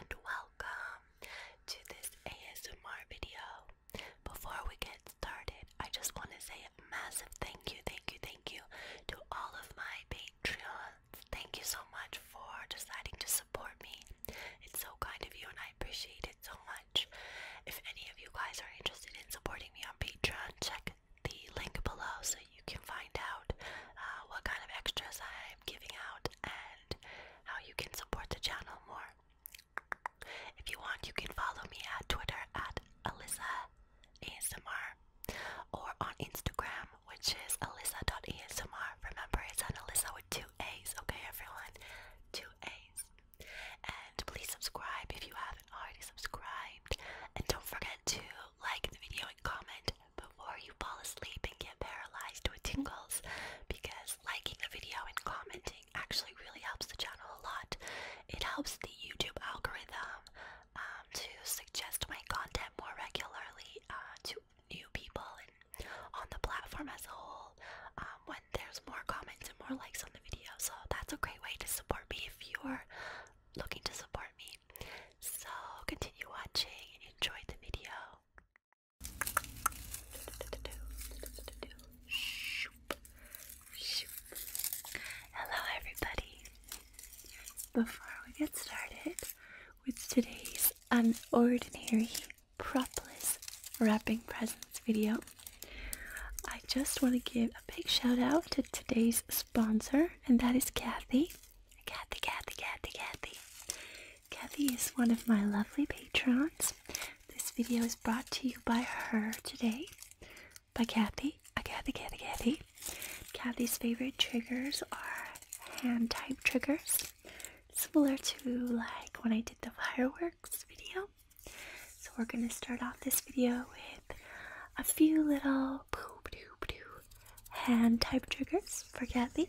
and welcome to this ASMR video. Before we get started, I just want to say a massive thank you, thank you, thank you to all of my patrons. Thank you so much for deciding to support me. It's so kind of you and I appreciate it so much. If any of you guys are interested in supporting me on Patreon, check the link below so you can find out uh, what kind of extras I'm giving out and how you can support the channel more. If you want, you can follow me at Twitter at Alyssa ASMR or on Instagram, which is Alyssa.ASMR. Remember, it's an Alyssa with two A's, okay, everyone? Two A's. And please subscribe if you haven't already subscribed. And don't forget to like the video and comment before you fall asleep and get paralyzed with tingles because liking the video and commenting actually really helps the channel a lot. It helps the YouTube algorithm um, to suggest my content more regularly uh, to new people and on the platform as a whole um, when there's more comments and more likes on the video. So that's a great way to support me if you're looking to support me. So continue watching and enjoy the video. Hello, everybody. Before we get started with today's unordinary propless wrapping presents video, I just want to give a big shout out to today's sponsor, and that is Kathy. Kathy, Kathy, Kathy, Kathy. Kathy is one of my lovely patrons. This video is brought to you by her today, by Kathy. Kathy, Kathy, Kathy. Kathy's favorite triggers are hand type triggers, similar to like when I did the fireworks video. So we're gonna start off this video with a few little hand type triggers for Kathy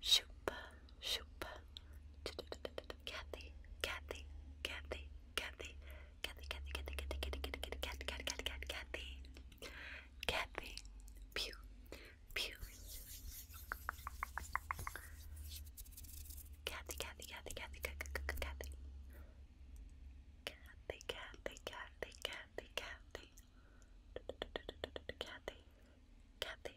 Shoop, shoop. Kathy, Kathy, Kathy, Kathy, Kathy, Kathy, Kathy, Kathy, Kathy, Kathy, Kathy, Kathy, Kathy, Kathy, Pew, Pew. Kathy, Kathy, Kathy, Kathy, Kathy, Kathy. Kathy, Kathy, Kathy, Kathy, Kathy. Kathy, Kathy,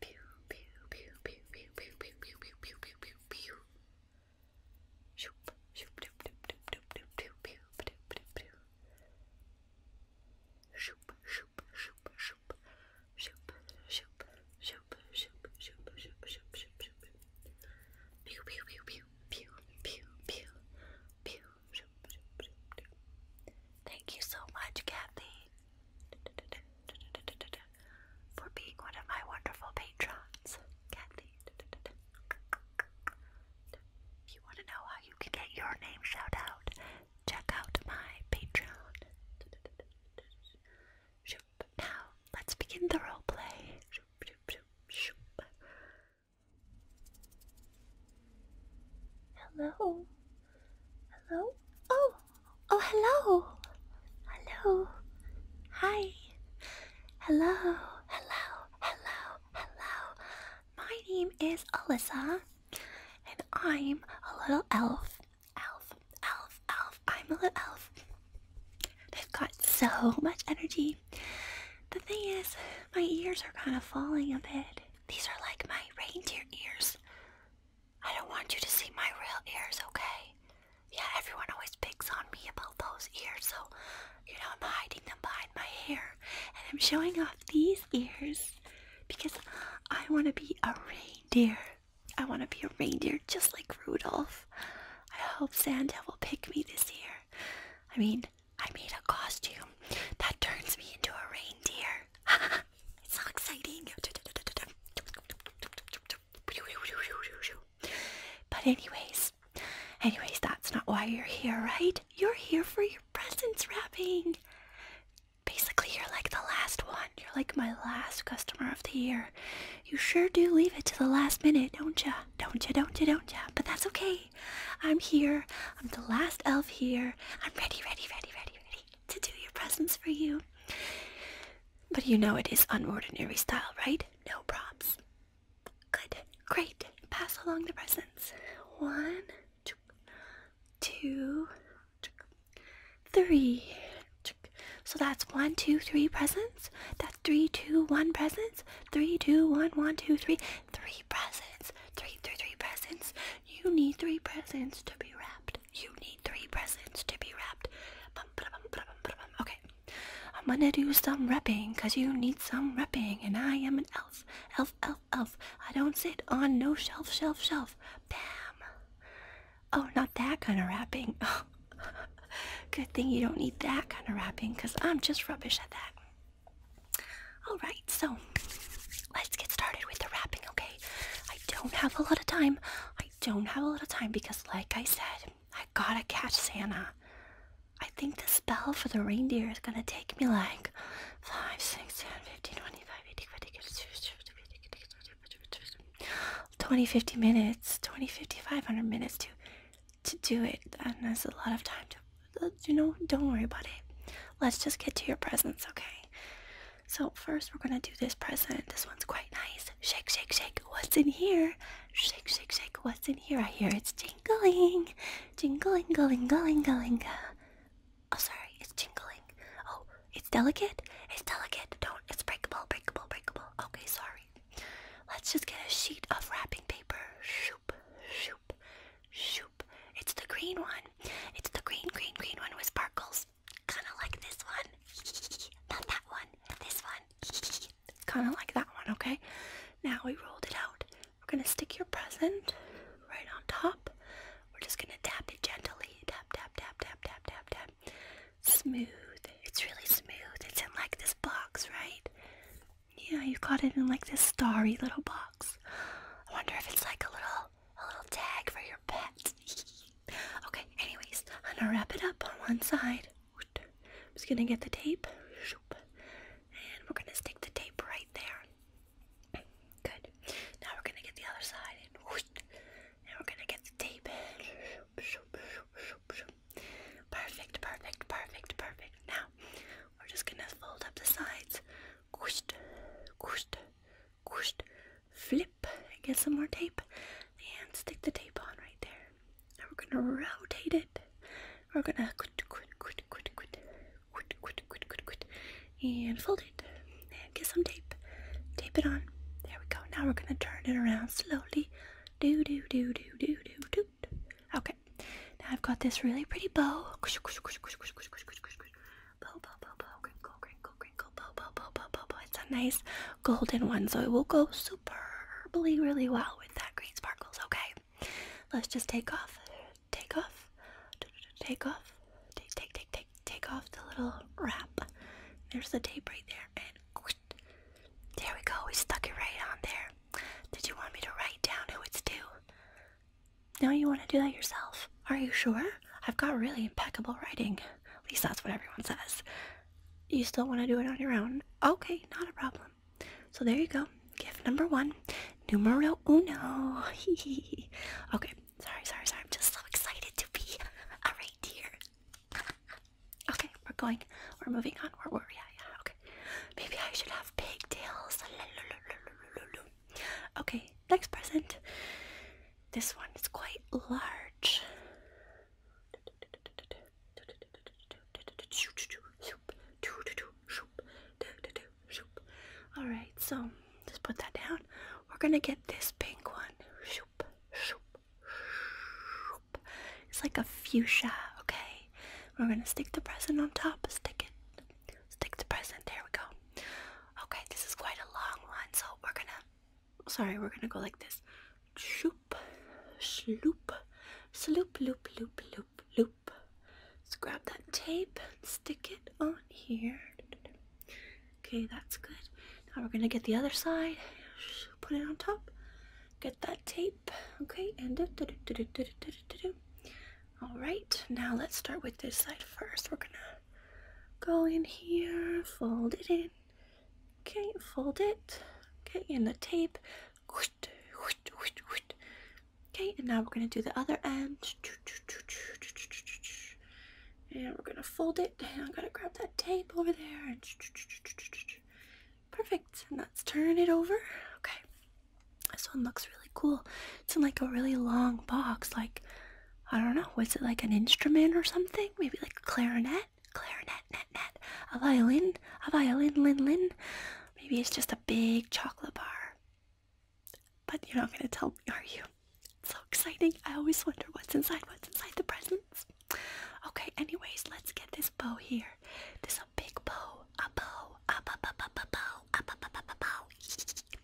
Pew, pew, pew, pew, pew, pew, pew, pew, pew, pew, pew, Shoop, shoop, doop, doop, doop, doop, doop, doop, pew, doop, doop, doop. Shoop, shoop, shoop, shoop, shoop, shoop, shoop, shoop, shoop, shoop, shoop, shoop, shoop. Pew, pew, pew, pew, pew, pew, pew, pew, shoop, shoop, shoop, doop. Thank you so much, Kathy for being one of my wonderful patrons, Kathy. If you want to know how you can get your name shout out, check out my Patreon. Now, let's begin the role play. Hello, Hello? Oh! Oh, hello! Hello! Hi! Hello! Hello! Hello! Hello! My name is Alyssa, and I'm a little elf. Elf, elf, elf. I'm a little elf. i have got so much energy. The thing is, my ears are kind of falling a bit. These are like my reindeer ears. I don't want you to see my real ears, okay? Yeah, everyone always picks on me about those ears, so, you know, I'm hiding them behind my hair. And I'm showing off these ears because I want to be a reindeer. I want to be a reindeer just like Rudolph. I hope Santa will pick me this year. I mean, I made a costume that turns me into a reindeer. It's so exciting. But anyways, anyways, that's not why you're here, right? You're here for your presents wrapping. Basically, you're like the last one. You're like my last customer of the year. You sure do leave it to the last minute, don't ya? Don't ya? Don't ya? Don't ya? But that's okay. I'm here. I'm the last elf here. I'm ready, ready, ready, ready, ready to do your presents for you. But you know it is unordinary style, right? No props. Good. Great. Pass along the presents. One, two, two, three. So that's one, two, three presents. That's three, two, one presents. Three, two, one, one, two, three, three presents three, three, three presents. You need three presents to be wrapped. You need three presents to be wrapped. Okay, I'm gonna do some repping because you need some wrapping, and I am an elf, elf, elf, elf. I don't sit on no shelf, shelf, shelf. Bam. Oh, not that kind of wrapping. Good thing you don't need that kind of wrapping because I'm just rubbish at that. Alright, so let's get started with the wrapping, okay? I don't have a lot of time. I don't have a lot of time because, like I said, I gotta catch Santa. I think the spell for the reindeer is gonna take me like 5, 6, 10, 15, 25, 80, 20, 50 minutes, 20, 50, 500 minutes to, to do it. And that's a lot of time to, you know, don't worry about it. Let's just get to your presents, okay? So first we're gonna do this present. This one's quite nice. Shake, shake, shake. What's in here? Shake, shake, shake. What's in here? I hear it's jingling, jingling, going, going, going. going. Oh, sorry, it's jingling. Oh, it's delicate. It's delicate. Don't. It's breakable, breakable, breakable. Okay, sorry. Let's just get a sheet of wrapping paper. Shoop, shoop, shoop. It's the green one. It's the green, green, green one with sparkles. Kind of like this one. Not that one. This one. kind of like that one, okay? Now we rolled it out. We're going to stick your present right on top. We're just going to tap it gently. Tap, tap, tap, tap, tap, tap, tap. Smooth. It's really smooth. It's in like this box, right? Yeah, you got it in like this starry little box. I wonder if it's like a little a little tag for your pet. okay, anyways, I'm gonna wrap it up on one side. I'm just gonna get the tape. And we're gonna stick the tape right there. Good. Now we're gonna get the other side and and we're gonna get the tape in. Perfect, perfect, perfect, perfect. Now we're just gonna fold up the sides whoosh, flip, and get some more tape, and stick the tape on right there. Now we're gonna rotate it. We're gonna quit, quit, quit, quit, quit, quit, quit, quit, quit, quit, and fold it, and get some tape, tape it on. There we go. Now we're gonna turn it around slowly. Do do do do do do do. Okay. Now I've got this really pretty bow. Bo bo bo bo crinkle crinkle crinkle bo bo bo bo bo bo. It's a nice golden one, so it will go superbly really well with that green sparkles. Okay, let's just take off, take off, take off, take take take take take off the little wrap. There's the tape right there, and there we go. We stuck it right on there. Did you want me to write down who it's to? Now you want to do that yourself? Are you sure? I've got really impeccable writing. At least that's what everyone says. You still want to do it on your own? Okay, not a problem. So there you go. Gift number one. Numero uno. okay, sorry, sorry, sorry. I'm just so excited to be a reindeer. okay, we're going. We're moving on. Where were we? Yeah, yeah, okay. Maybe I should have pigtails. Okay, next present. This one is quite large. Alright, so just put that down. We're gonna get this pink one. It's like a fuchsia, okay? We're gonna stick the present on top, stick it, Stick the present. There we go. Okay, this is quite a long one, so we're gonna. Sorry, we're gonna go like this. Shoop, sloop, sloop, loop, loop, loop, loop. Let's grab that tape and stick it on here. Okay, that's good. Now we're gonna get the other side, put it on top, get that tape, okay, and do, do, do, do, do, do, do, do. all right. Now let's start with this side first. We're gonna Go in here, fold it in. Okay, fold it. Get in the tape. Okay, and now we're gonna do the other end. And we're gonna fold it. I'm gonna grab that tape over there. perfect. And let's turn it over. Okay. This one looks really cool. It's in like a really long box, like I don't know, was it like an instrument or something? Maybe like a clarinet? Clarinet, net, net. A violin? A violin, lin, lin? Maybe it's just a big chocolate bar. But you're not going to tell me, are you? so exciting. I always wonder what's inside, what's inside the presents. Okay, anyways, let's get this bow here. This big bow. A bow. A bow, bow, bow, bow, bow. A bow, bow, bow, bow, bow.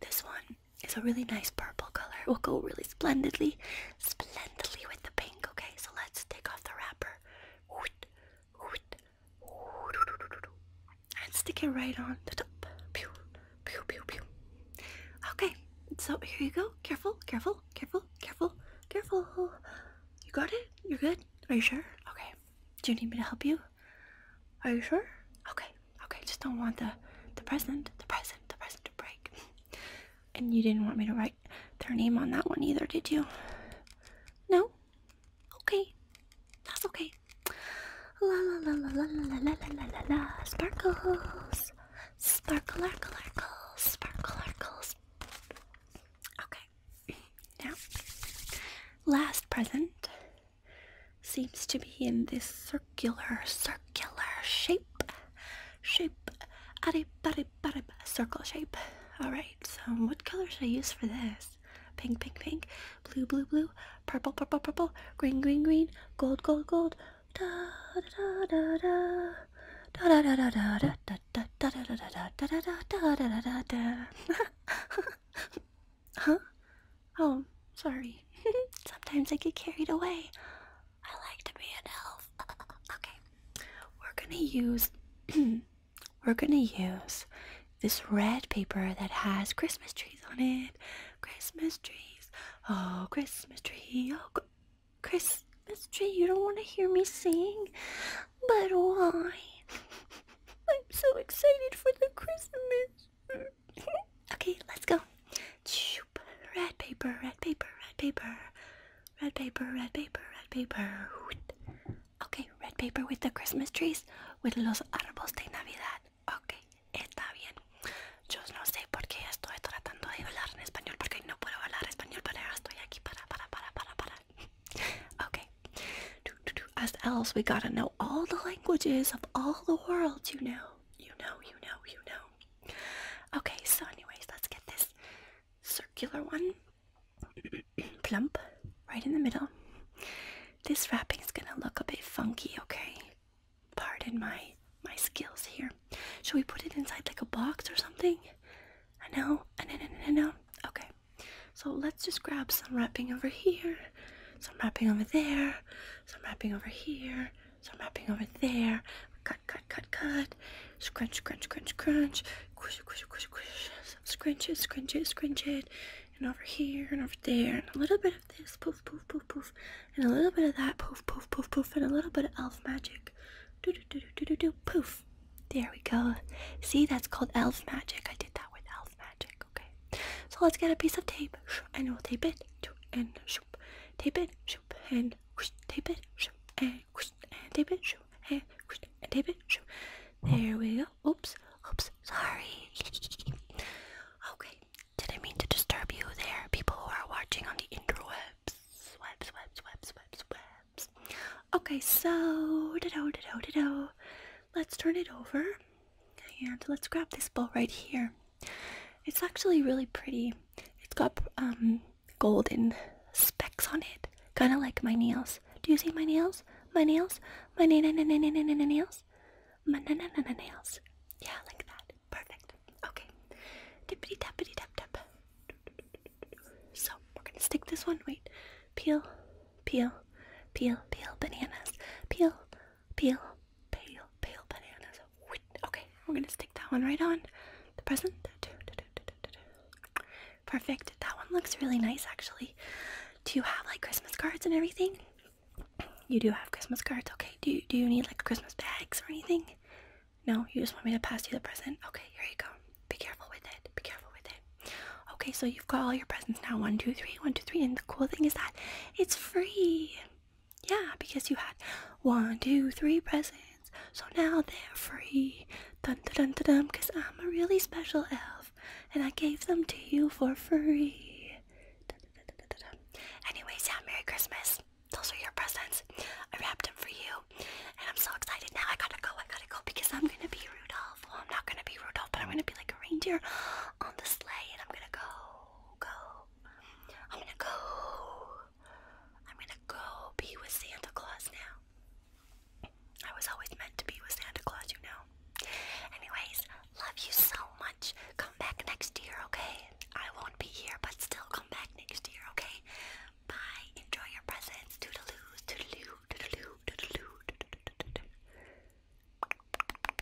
This one is a really nice purple color. It will go really splendidly, splendidly with the pink. Okay, so let's take off the wrapper and stick it right on the top. Okay, so here you go. Careful, careful, careful, careful, careful. You got it? You're good? Are you sure? Okay. Do you need me to help you? Are you sure? Okay, okay. Just don't want the the present, the present, the present to break. and you didn't want me to write their name on that one either, did you? No. Okay, that's okay. La la la la la la la la la la sparkles, sparkle, sparkle, sparkles. Okay. Now, last present seems to be in this circular, circular shape. Shape, adip, adip, adip, circle shape. Alright, so what color should I use for this? Pink, pink, pink, blue, blue, blue, purple, purple, purple, green, green, green, gold, gold, gold. Da da da da da. Da da da da da da da da da da da da da da da da da da Huh? Oh, sorry. Sometimes I get carried away. I like to be an elf. okay. We're gonna use we're gonna use this red paper that has Christmas trees on it. Christmas trees. Oh, Christmas tree. Oh, Christmas tree. You don't want to hear me sing, but why? I'm so excited for the Christmas okay, let's go. Red paper, red paper, red paper, red paper, red paper, red paper. Okay, red paper with the Christmas trees, with los árboles de Navidad. Ok, está bien. Yo no sé por qué estoy tratando de hablar en español, porque no puedo hablar español, pero estoy aquí para, para, para, para, para. Okay. As elves, we gotta know all the languages of all the world, you know. You know, you know, you know. Okay, so anyways, let's get this circular one. Plump, right in the middle. This wrapping is gonna look a bit funky, okay? Pardon my my skills here. Shall we put it inside like a box or something? I know, I know, I know, I know. Okay, so let's just grab some wrapping over here, some wrapping over there, some wrapping over here, some wrapping over there. Cut, cut, cut, cut. Scrunch, crunch, crunch, crunch. Squish, squish, squish, squish. Scrunch it, scrunch it, scrunch it. And over here and over there. And a little bit of this. Poof, poof, poof, poof. And a little bit of that. Poof, poof, poof, poof. And a little bit of elf magic. Do, do, do, do, do, do, do. Poof. There we go. See, that's called elf magic. I did that with magic, okay? So let's get a piece of tape, and we'll tape it, and tape it, and tape it, and tape it, and tape it. There we go. Oops, oops, sorry. okay, did I mean to disturb you there, people who are watching on the interwebs. Webs, webs, webs, webs, webs. Okay, so, da do da do da do. Let's turn it over. And let's grab this ball right here. It's actually really pretty. It's got um, golden specks on it, kind of like my nails. Do you see my nails? My nails? My na na na na na na nails? My na na na nails. Yeah, like that. Perfect. Okay. Dippity tappity tap tap. So we're gonna stick this one. Wait. Peel, peel, peel, peel bananas. Peel, peel, pale, pale bananas. Okay, we're gonna stick that one right on the present. Perfect. That one looks really nice, actually. Do you have like Christmas cards and everything? You do have Christmas cards. Okay. Do you, do you need like Christmas bags or anything? No. You just want me to pass you the present. Okay. Here you go. Be careful with it. Be careful with it. Okay. So you've got all your presents now. One, two, three. One, two, three. And the cool thing is that it's free. Yeah, because you had one, two, three presents, so now they're free. Dun dun dun dun dun, because I'm a really special elf and I gave them to you for free. dun, dun, dun, dun. Anyways, yeah, Merry Christmas. Those are your presents. I wrapped them for you, and I'm so excited now. I gotta go, I gotta go because I'm gonna be Rudolph. Well, I'm not gonna be Rudolph, but I'm gonna be like a reindeer on the sleigh and I'm gonna go, go. I'm gonna go. I'm gonna go be with Santa Claus now. I was always meant to be with Santa Claus, you know. Anyways, love you so much. Come back next year, okay? I won't be here, but still come back next year, okay? Bye. Enjoy your presents. Toodaloo, toodaloo, toodaloo, toodaloo, toodaloo. toodaloo, toodaloo.